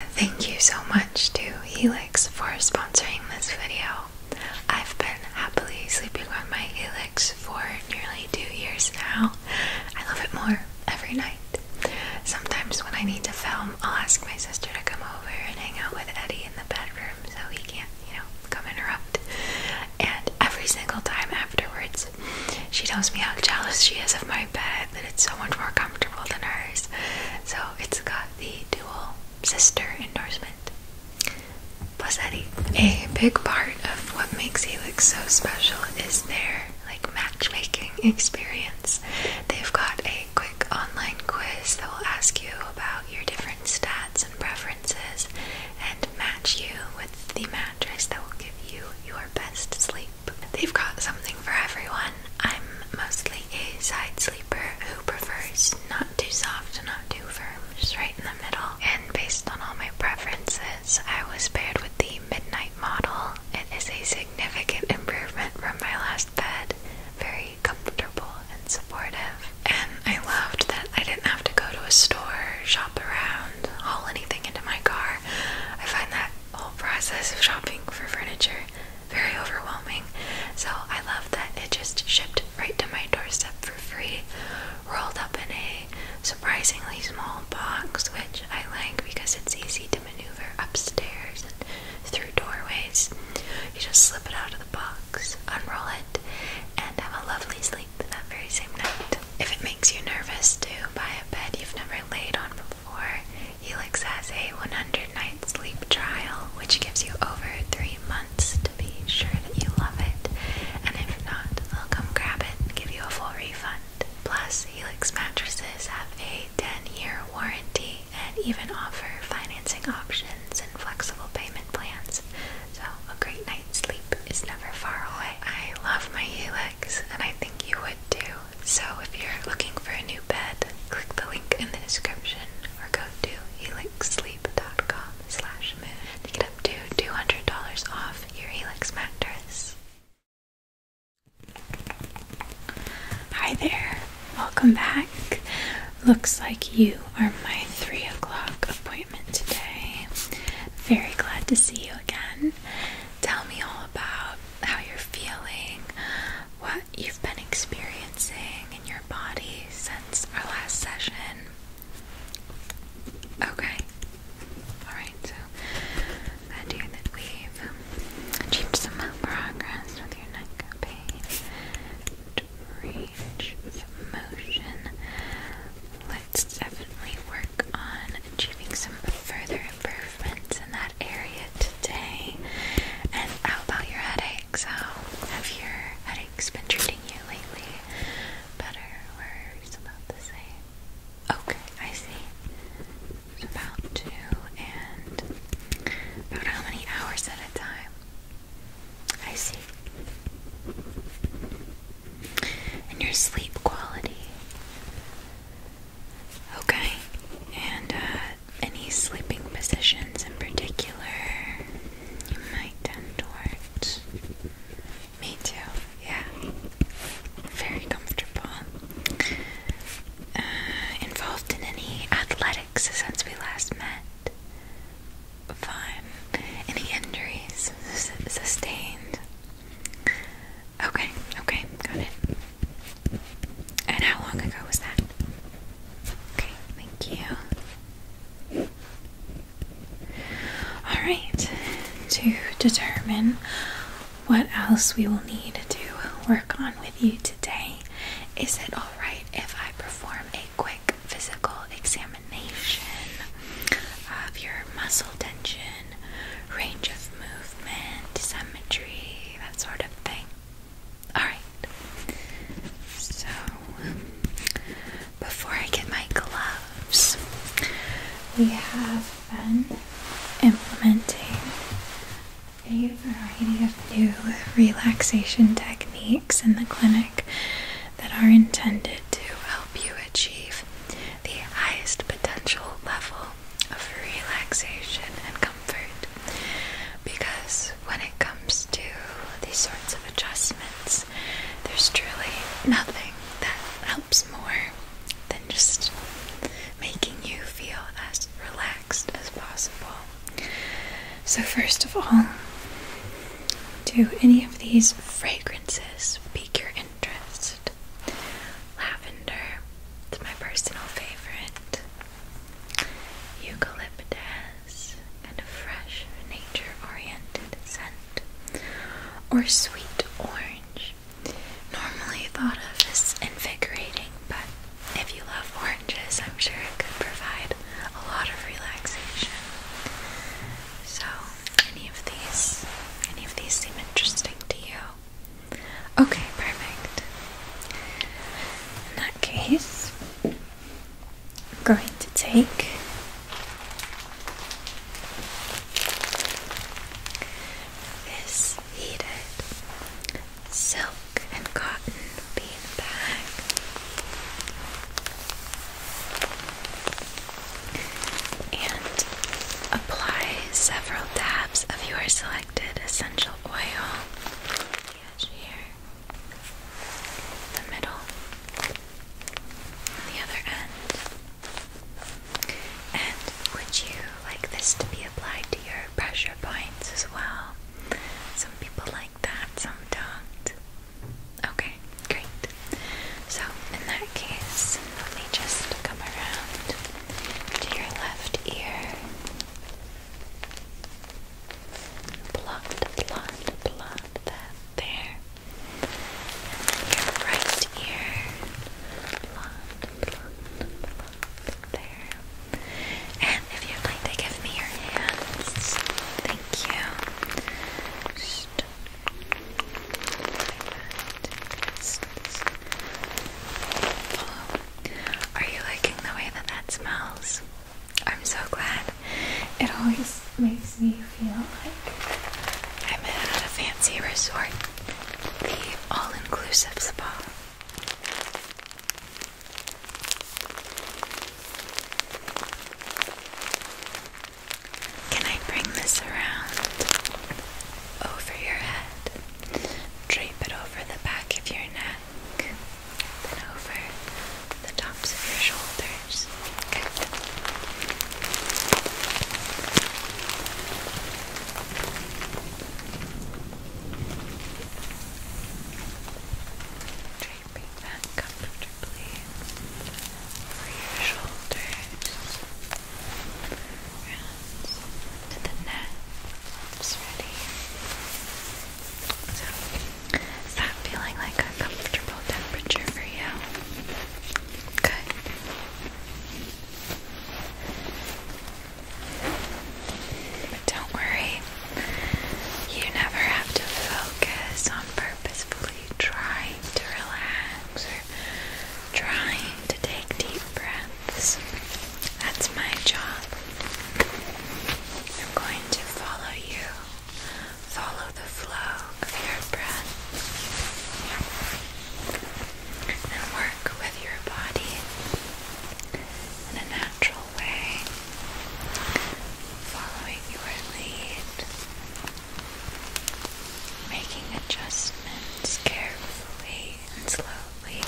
Thank you so much to Helix for sponsoring this video. I've been happily sleeping on my Helix for nearly two years now. I love it more every night. Sometimes when I need to film, I'll ask my sister to come over and hang out with Eddie in the bedroom so he can't, you know, come interrupt. And every single time afterwards, she tells me how jealous she is of my bed, that it's so much more comfortable than hers. So Oh, it's got the dual sister endorsement. plus Eddie. A big part of what makes Helix so special is their like matchmaking experience. They've got a quick online quiz that will ask you about your different stats and preferences and match you with the mattress that will give you your best sleep. They've got something for everyone. I'm mostly a side sleeper who prefers not too soft, not too firm, just right in the middle. And based on all my preferences, I was paired with the Midnight model. It is a significant improvement from my last bed. Very comfortable and supportive. And I loved that I didn't have to go to a store, shop around, haul anything into my car. I find that whole process of shopping for furniture very overwhelming. So I love that it just shipped right to my doorstep for free, rolled up in a surprisingly small box, which I like because it's easy to maneuver upstairs and through doorways. You just slip it out of the box, unroll it, and have a lovely sleep that very same night. If it makes you nervous to buy a bed you've never laid on before, for, Helix has a 100 night sleep trial, which gives you over three months to be sure that you love it. And if not, they'll come grab it and give you a full refund. Plus, Helix mattresses have a 10 year warranty and even offer financing options and flexible payment plans. So, a great night's sleep is never far away. I love my Helix, and I think you would too. So if you're looking for a new bed, click the link in the description or go to helixsleep.com slash moon to get up to $200 off your Helix mattress. Hi there, welcome back. Looks like you are my 3 o'clock appointment today. Very glad to see you again. Tell me all about how you're feeling, what you've been experiencing in your body since our last session. Okay. Alright, so I do that we've achieved some progress with your neck pain. Range of motion. Let's definitely work on achieving some further improvement in that area today. And how about your headaches? How have your headaches been treating you lately? Better or it's about the same? Okay, I see. about two and about how many hours at a time? I see. And your sleep quality. Okay. And uh, any sleeping positions in particular you might tend towards? Me too, yeah. Very comfortable. Uh, involved in any athletics since we last met? Fine. Any injuries sustained? Okay, okay, got it. And how long ago was that? Okay, thank you. Alright, to determine what else we will need to work on with you today, is it alright if I perform a quick physical examination of your muscle tension, range of movement, symmetry, that sort of thing? Alright. So, before I get my gloves, we have been implementing a variety of new relaxation techniques in the clinic that are intended to help you achieve the highest potential level of relaxation and comfort because when it comes to these sorts of adjustments, there's truly nothing that helps more than just making you feel as relaxed as possible. So, first of all, do any of these fragrances pique your interest? Lavender, it's my personal favorite eucalyptus, kind of fresh, nature oriented scent, or sweet orange. Normally thought of as invigorating, but if you love oranges, I'm sure it could provide a lot of relaxation. So, any of these, any of these seem interesting to you? Okay, perfect. In that case, I'm going to take this heated silk and cotton bean And apply several dabs of your selection selected essential oil, the edge here, the middle, the other end. And would you like this to be applied to your pressure points as well? Some people like that, some don't. Okay, great. So, in that case, let me just come around to your left ear. Pluck, pluck, pluck that there. And your right ear. Pluck, pluck, pluck there. And if you'd like to give me your hands, thank you. Are you liking the way that that smells? I'm so glad. It always makes me feel like I'm at a fancy resort, the all inclusive spa. Can I bring this around over your head? Drape it over the back of your neck then over the tops of your shoulders. Good. Draping comfortably over your shoulders, around to the neck cups ready. is that feeling like a comfortable temperature for you? Good. But don't worry, you never have to focus on purposefully trying to relax or trying to take deep breaths. That's my job. I'm going to follow you, follow the flow of your breath, and work with your body in a natural way, following your lead, making adjustments carefully and slowly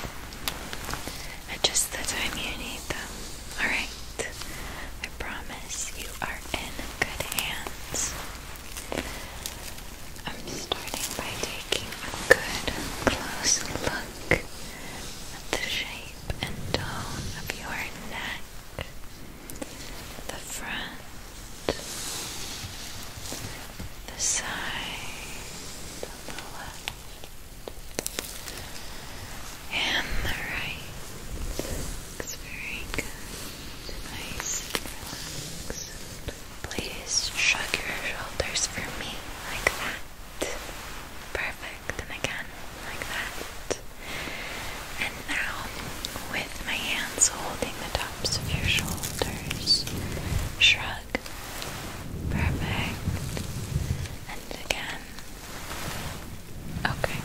at just the time you need them. Alright, I promise you are in good hands. I'm starting by taking a good close look at the shape and tone of your neck. The front, the side, the left, and the right. Looks very good. Nice and relaxed. Please shrug your shoulders for me like that. Perfect. And again, like that. And now, with my hands holding the tops of your shoulders, shrug Perfect. And again. Okay.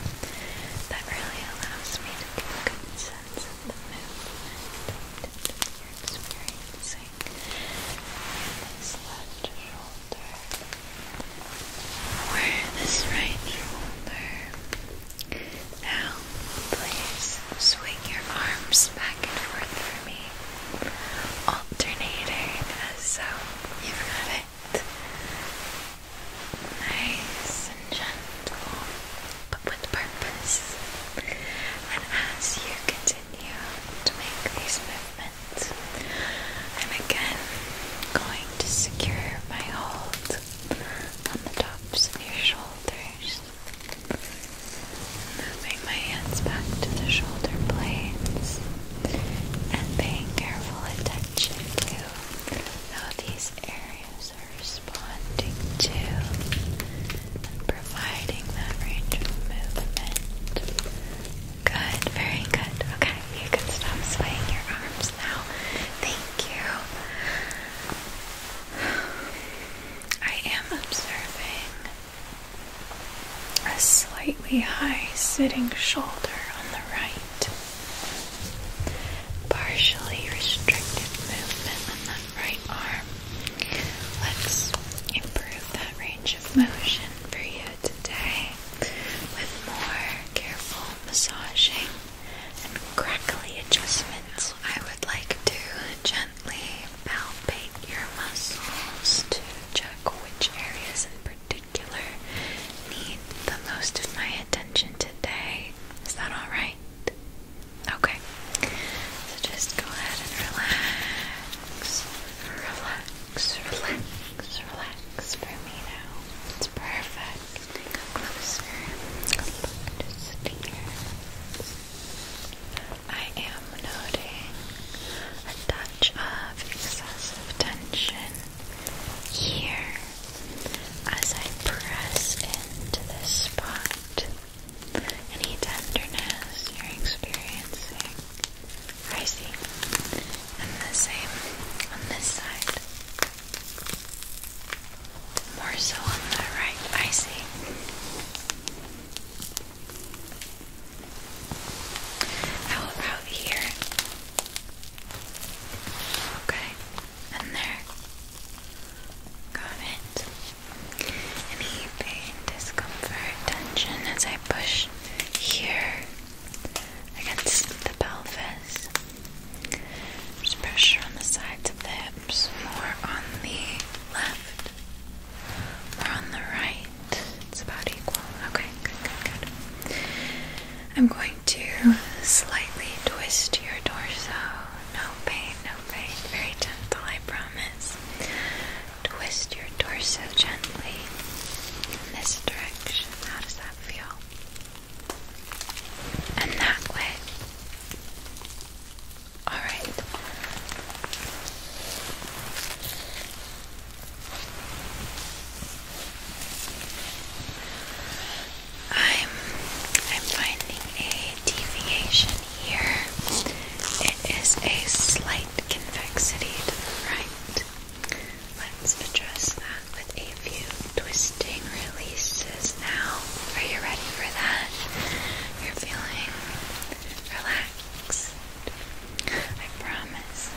That really allows me to get a the movement you're experiencing in this left shoulder. Or this right shoulder. Now, please swing your arms back and forth for me alternating, so you've got it nice and gentle, but with purpose. And as you continue to make these movements, I'm again going to secure my hold on the tops of your shoulders. Moving my hands back to the shoulder blades and paying careful attention to how these areas are responding to and providing that range of movement. Good, very good. Okay, you can stop swaying your arms now. Thank you. I am observing a slightly high sitting shoulder on the right, partially restricted movement on the right arm. Let's improve that range of motion for you today with more careful massaging and crackly adjustments. I would like to gently palpate your muscles to which areas in particular need the most of my attention today. Is that alright? Okay. So just go ahead and relax. Relax, relax, relax for me now. It's perfect. Take a closer look. Just here. I am noting a touch of excessive tension here as I press into this spot. Any tenderness you're experiencing, I see. And the same on this side. More so on the right, I see. How about here? Okay, and there. Got it. pain, discomfort, tension as I push here against the pelvis. There's pressure on the sides of the hips, more on the left, more on the right. It's about equal. Okay, good, good, good. I'm going to slightly twist your torso. No pain, no pain. Very gentle, I promise. Twist your torso gently in this direction. How does that feel? And that way. Alright. I'm I'm finding a deviation here. It is a slight convexity to the right. Let's address that with a few twisting releases now. Are you ready for that? You're feeling relaxed. I promise,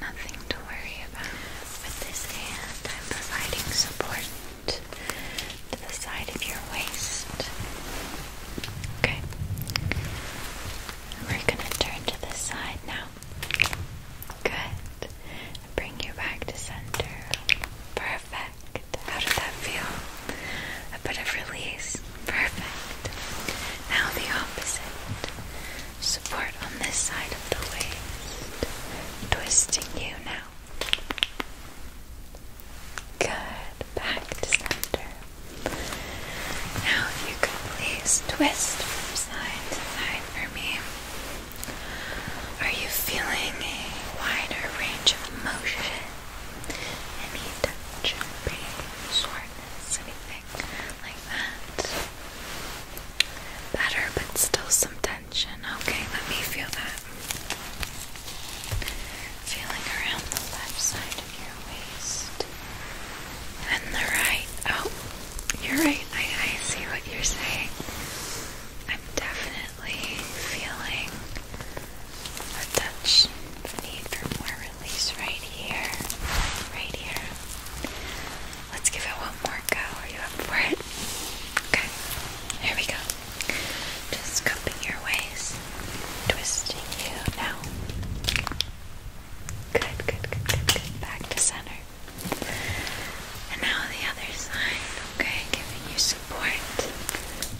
nothing to worry about. With this hand, I'm providing support to the side of your waist. Okay. We're gonna turn to this side now. Good. Bring you back to center. Perfect. How does that feel? A bit of release perfect. Now the opposite. Support on this side of the waist. Twisting you now. Good. Back to center. Now you could please twist from side to side for me. Are you feeling a wider range of motion? Any tension, pain, soreness, anything? like that. Better, but still some tension. Okay, let me feel that. Feeling around the left side of your waist and the right. Oh, you're right. I, see what you're saying. I'm definitely feeling a touch, of need for more release right here. Right here. Let's give it one more go. Are you up for it? Okay. Here we go. Just cupping your waist. Twisting you now. good, good, good, good. Back to center. And now the other side. Okay, giving you support.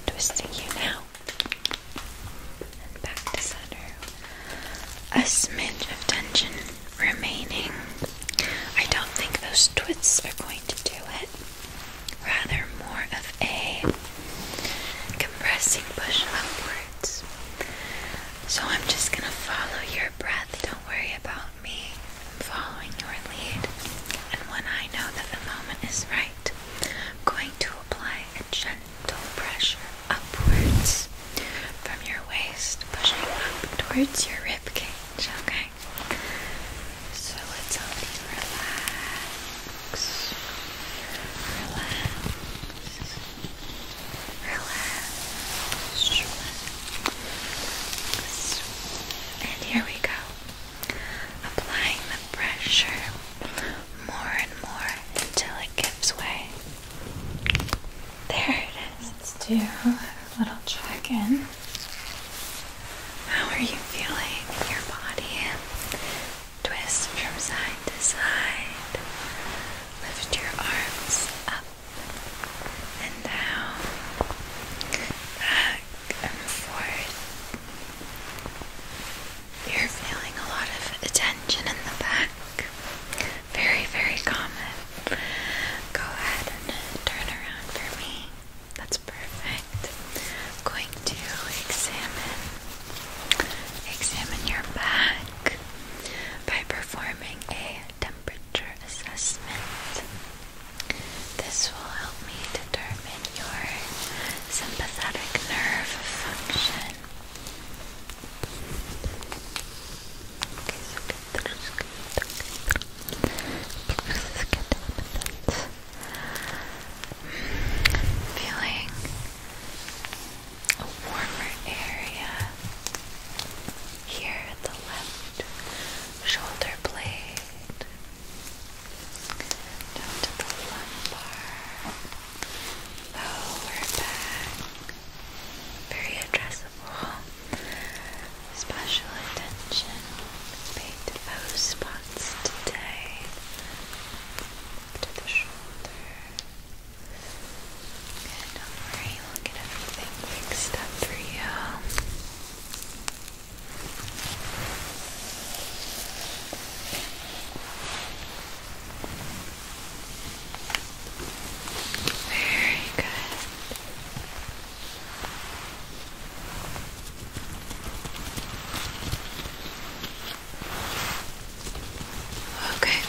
Twisting you now. A smidge of tension remaining. I don't think those twits are going to do it. Rather, more of a compressing push upwards. So I'm just gonna follow your breath. Don't worry about me. I'm following your lead. And when I know that the moment is right, I'm going to apply a gentle gentle pressure upwards from your waist, pushing up towards your rib cage. Okay, so let's help relax, relax, relax. And here we go. Applying the pressure more and more until it gives way there it is. Let's do a little check in. How are you feeling your body? Twist from side to side. Lift your arms up and down, back and forth. You're feeling a lot of attention in the back. Very, very common. Go ahead and turn around for me. That's perfect. I'm going to examine examine your back by performing a temperature assessment. This will help me determine your sympathetic nerve function Feeling a warmer area here at the left shoulder blade down to the lumbar Lower oh, back, very addressable. Special attention paid spots today. To the shoulder. Good, don't worry, we'll get everything fixed up for you. Very good. Okay,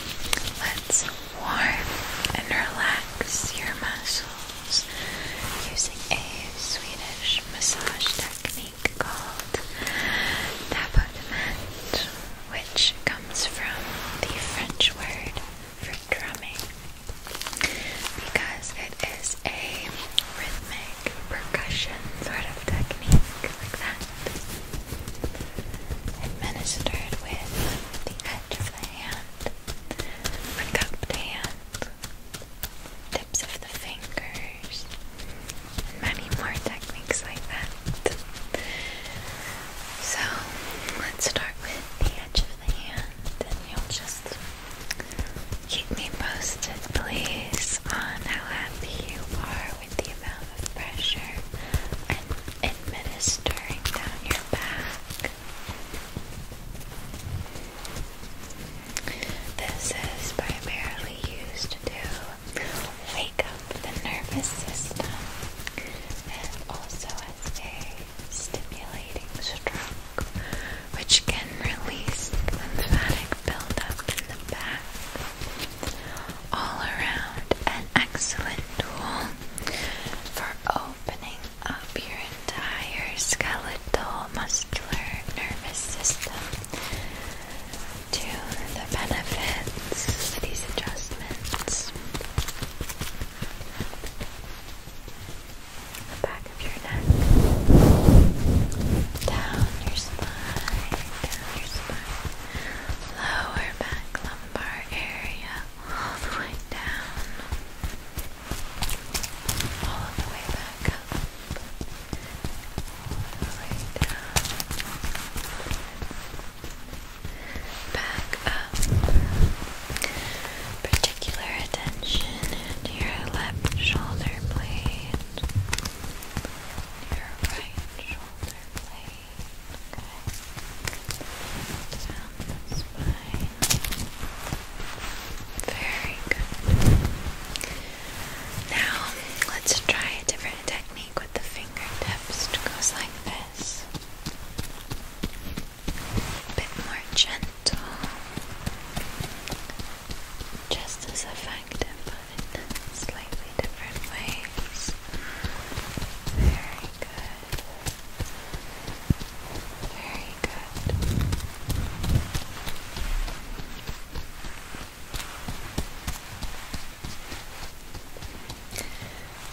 let's warm and relax your muscles using a Swedish massage technique called tapotement which comes from the French word for drumming because it is a rhythmic percussion sort of technique like that administered with the edge of the hand cupped hand tips of the fingers many more techniques like that. So let's start with the edge of the hand, and you'll just keep me posted, please, on how happy you are with the amount of pressure i administering down your back. This is primarily used to wake up the nervous system and also has a stimulating stroke which can release lymphatic buildup in the back. All around an excellent tool for opening up your entire skeletal muscular nervous system to the benefits of these adjustments. The back of your neck, down your spine, down your spine, lower back lumbar area, all the way down, all the way back up, all the way down, back up. Particular attention to your left shoulder blade, your right shoulder blade. Okay. spine. Very good. Now, let's try a different technique technique with the fingertips goes like this. A bit more gentle. Just as effective, but in slightly different ways. Very good. Very good.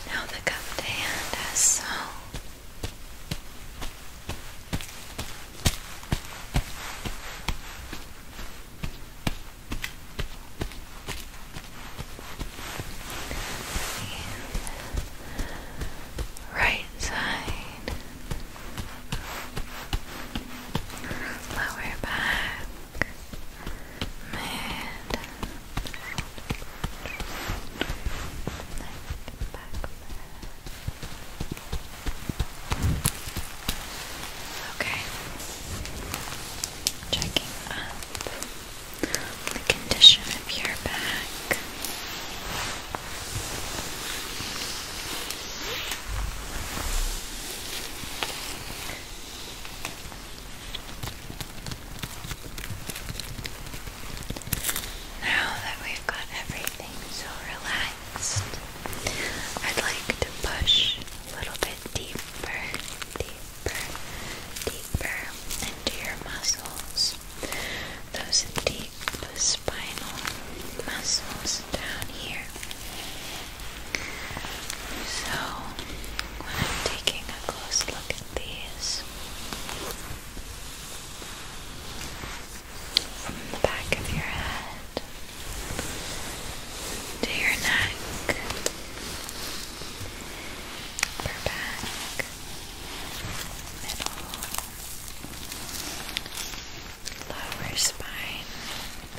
Now the cupped hand has so right side lower back Okay. Checking up the condition of your back. Now that we've got everything so relaxed, I'd like to push a little bit deeper, deeper, deeper into your muscles. Those deep spinal muscles down here. So, when I'm taking a close look at these from the back of your head to your neck, upper back, middle, lower spine. I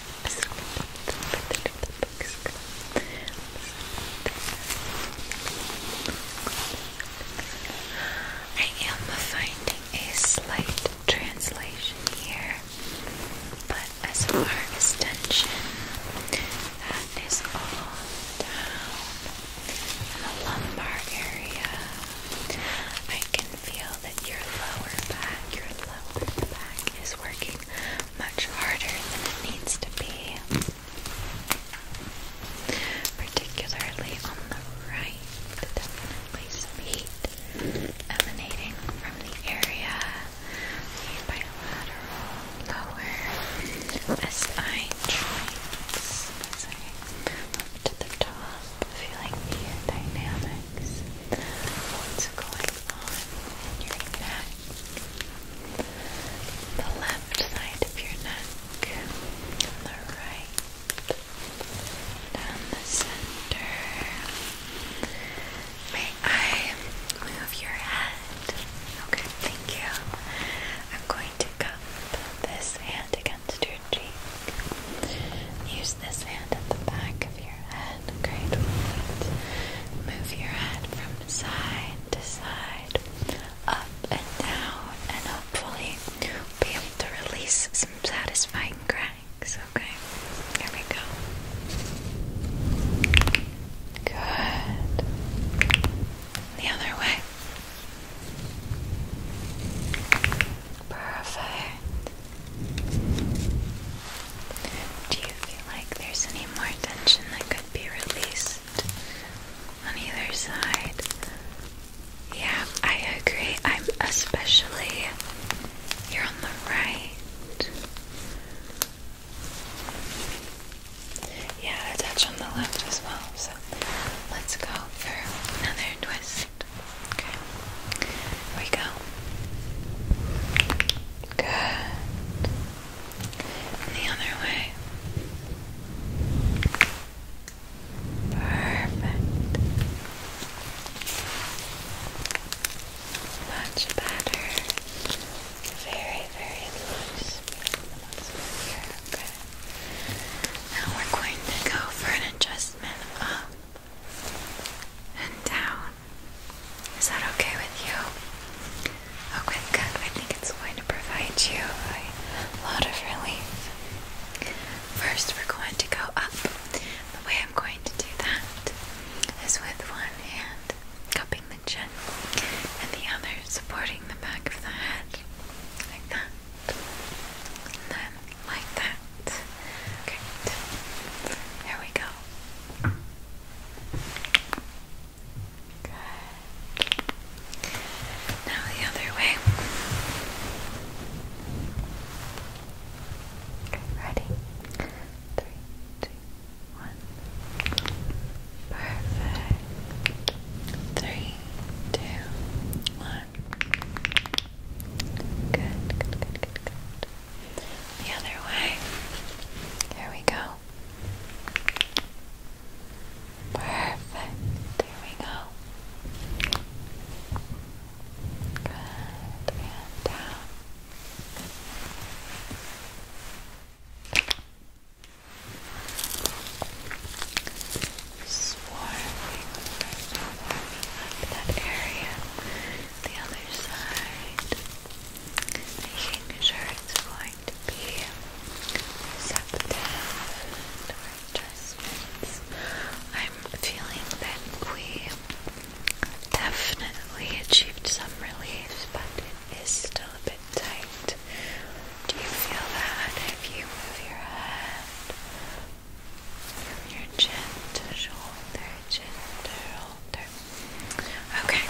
am finding a slight translation here, but as far as tension, that is all down in the lumbar area. I can feel that your lower back, your lower back is working much harder than it needs to be, particularly on the right. Definitely some heat emanating from the area. bilateral lower SI joints. up to the top, feeling dynamics what's going on in your neck the left side of your neck, the right, down the center. May I move your head? Okay, thank you. I'm going to cup this hand against your cheek. Use this hand at the back of your head. Great. Move your head from side to side, up and down, and hopefully will be able to release some satisfying cracks. Okay, here we go. Good. The other way. Perfect. Do you feel like there's any more tension that could be released on either side? Yeah, I agree. I'm especially you're on the right. Yeah, touch on the left as well. So let's go for another twist. Okay. Here we go. Good and the other way. Perfect. Much better. Very, very loose. okay. Now we're going to go for an adjustment up and down. Is that okay with you? Okay, good. I think it's going to provide you a lot of relief. First, we're going to go up. The way I'm going to do that is with one hand cupping the chin and the other supporting the back of the head. Like that. And then like that. Great. Here we go. Good. Now the other way. ready? Three, two, one. Perfect. Three, two, one. Good, good, good, good, good. The other way. Here we go. Perfect. Here we go. Good. And down. Swarming warming that area. The other side making sure it's going to be receptive to adjustments. I'm feeling that we definitely achieved some relief, but it is still a bit tight. Do you feel that if you move your head from your chin to shoulder, chin to shoulder? Okay,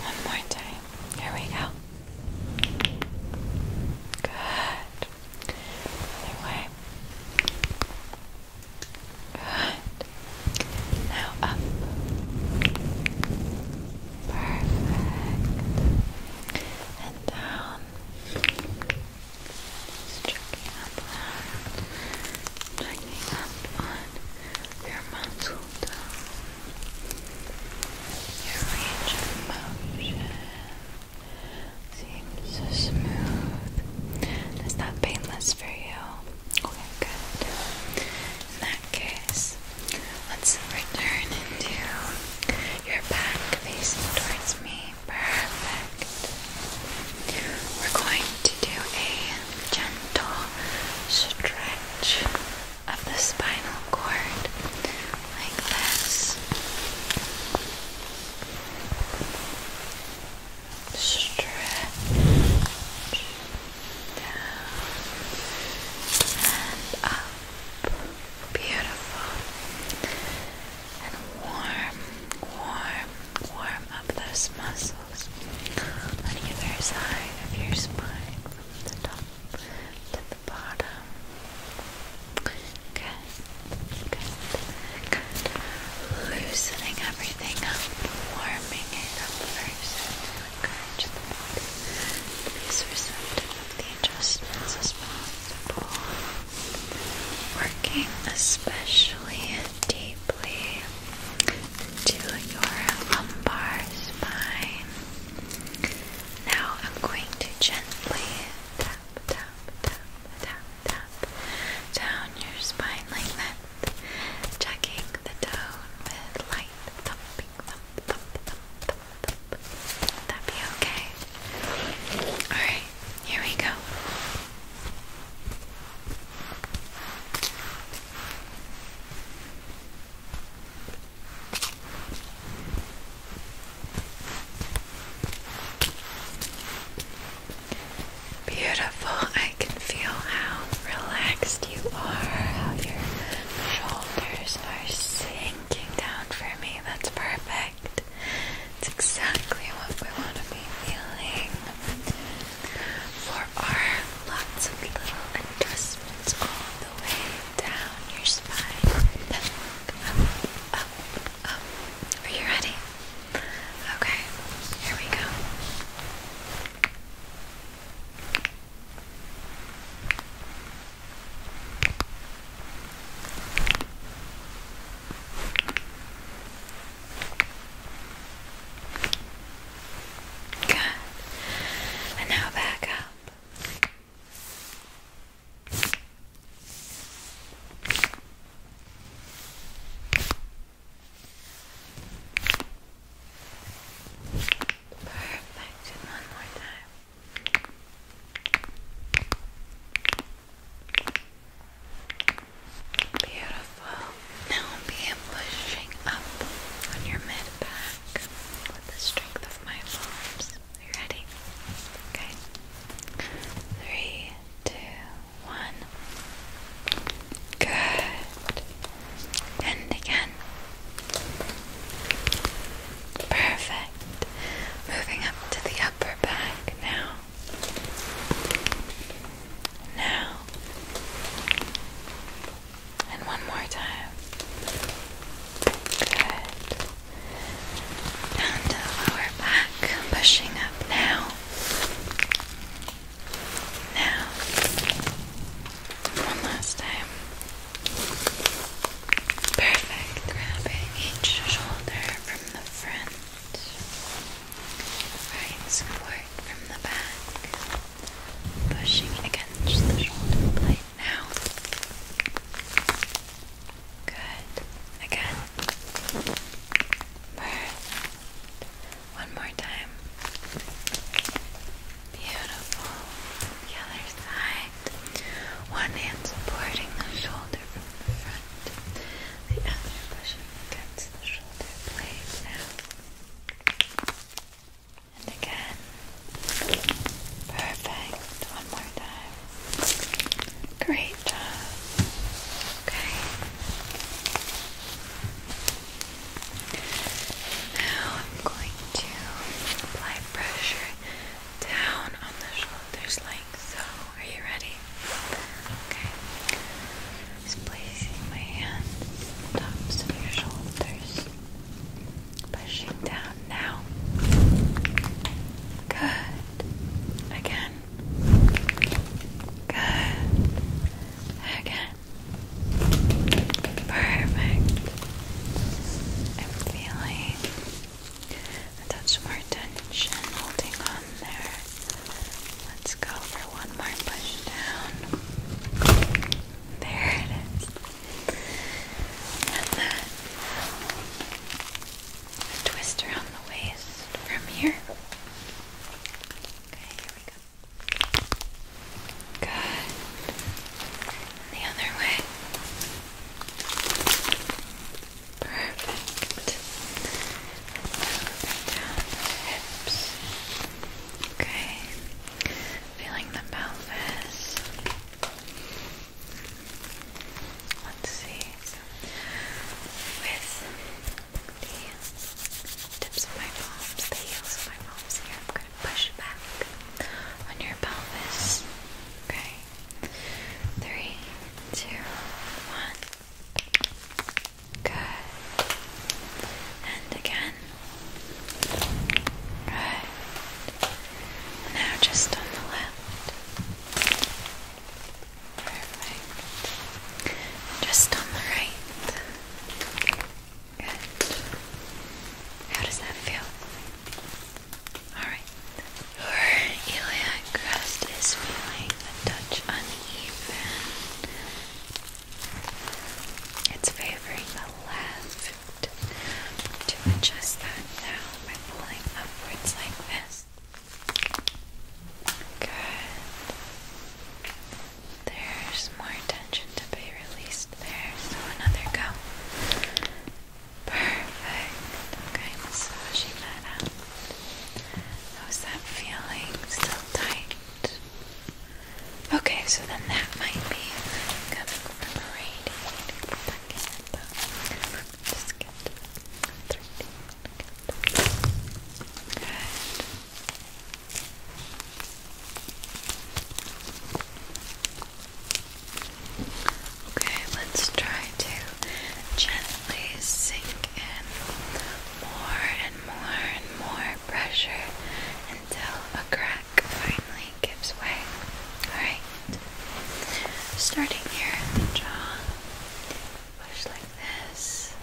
one more time. Here we go. Good. Other way. Good. Now up. Perfect. And down. Just up on checking up on your muscle your range of motion seems so smooth. Is that painless for you? Okay, good. In that case, let's return into your back facing towards me. Perfect. We're going to do a gentle stretch of the spinal cord, like this. Stretch down and up. Beautiful and warm, warm, warm up those muscles on either side of your spine from the top to the bottom. Good, good, good. Loosening everything up, warming it up first to the body be as receptive of the adjustments as possible. Working especially deeply to your lumbar spine. Now I'm going to gently tap, tap, tap, tap, down your spine like that, checking the tone with light thumping, thump, thump, thump, thump, that be okay? Alright, here we go. Beautiful. I can feel how relaxed you are, how your shoulders are sinking down for me. That's perfect. It's exactly what we want to be feeling for our lots of little adjustments all the way down your spine. Are you ready? Okay, here we go. And now back up. Perfect. one more time. Beautiful. Now we pushing up on your mid back with the strength of my palms. ready? Okay. Three, two, one. Good. And again. Perfect. Moving up to the upper back now. Now. And one more time. Good. Down to the lower back. Pushing up now. Now. One last time. Perfect. Grabbing each shoulder from the front. Right support from the back pushing against the shoulder blade now. Good. Again. Perfect. One more time. Beautiful. other side. One hand supporting the shoulder from the front. The other pushing against the shoulder blade now. And again. Perfect. One more time. Great job. Okay. Now I'm going to apply pressure down on the shoulders like so. Are you ready? Okay. Just placing my hands on your shoulders. Pushing down now. Good. Again. Good. Again. Perfect. I'm feeling a touch more tension holding on there. Let's go for one more push down. There it is. And then twist around the waist from here. Okay, here we go. Good. the other way. Perfect. down hips. Okay feeling the pelvis. Let's see. With the tips of my palms, the heels of my palms here, I'm going to push back on your pelvis. Okay. Three, two, one. Good. And again. Right. Now just on the left. Perfect. Just on the right. Good. How does that feel? Alright. Your iliac crest is feeling a touch uneven. It's favoring the left. To adjust that now by pulling upwards like this. Good. There's more tension to be released there, so another go. Perfect. Okay, massaging that out. How's that feeling? Still tight? Okay, so then that might be coming from right here. Just get Okay, let's try to gently sink in more and more and more pressure until a crack finally gives way. Alright. Starting here at the jaw. Push like this.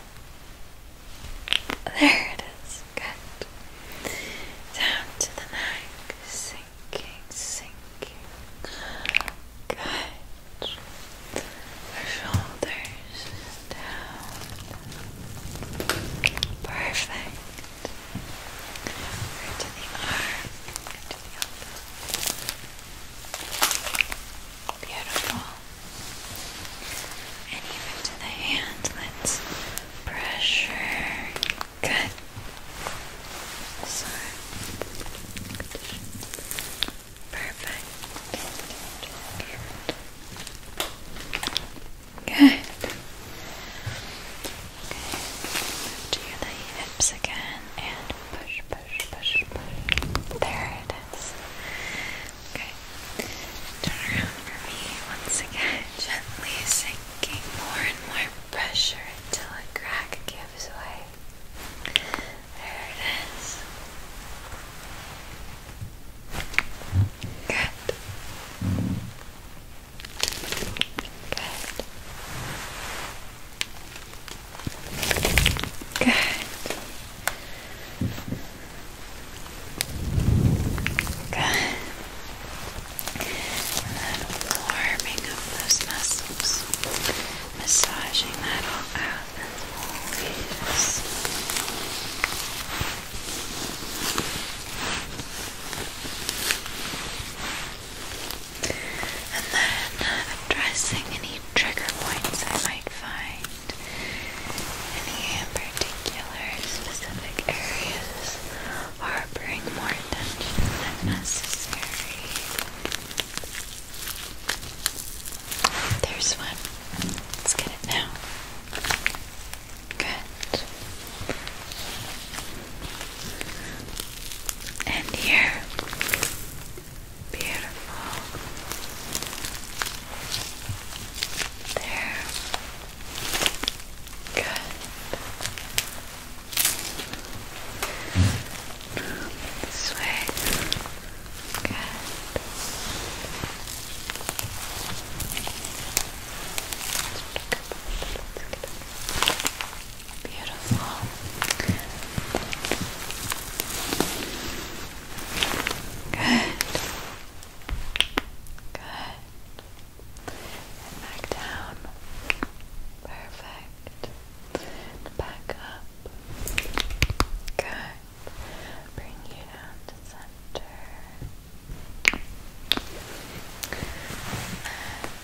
There it is. Good. Down to the neck. Sinking, sinking. Good. Our shoulders down. Perfect. Over to the arm and the elbow. Beautiful. And even the hand, let's pressure. Good. Sorry. Perfect. Good. Okay. Move the hips again and push, push, push, push. There it is. Okay. Turn around for me once again, gently sinking more and more pressure until a crack gives way. There it is. Good. Okay. Good. And warming up those muscles, massaging that all out as always. Good. And then addressing any trigger points I might find, any particular specific areas harboring more tension than necessary. There's one. Let's get it now. Good. And here. Beautiful. There. Good. This Good. Beautiful. Good. Good. back down. Perfect. back up. Good. Bring you down to center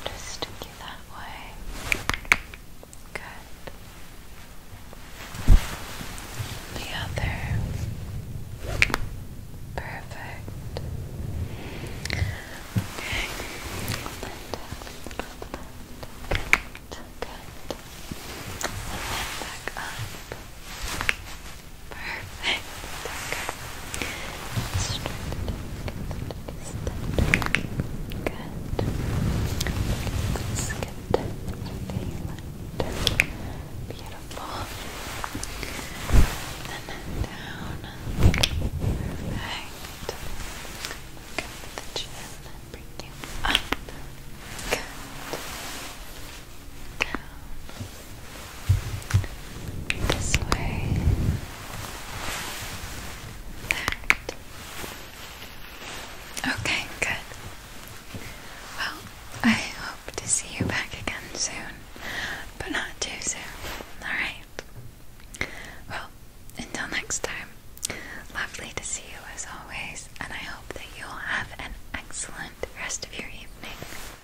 just stick that way. Good. The other. Perfect. Okay. Hold that down. Good. And back up. Perfect. Okay. Straight. Good. Let's get everything lined. Beautiful. And down. Perfect. Look the chin and bring you up. Good down, this way, that. Okay, good. Well, I hope to see you back again soon, but not too soon. Alright? Well, until next time, lovely to see you as always, and I hope that you'll have an excellent rest of your evening.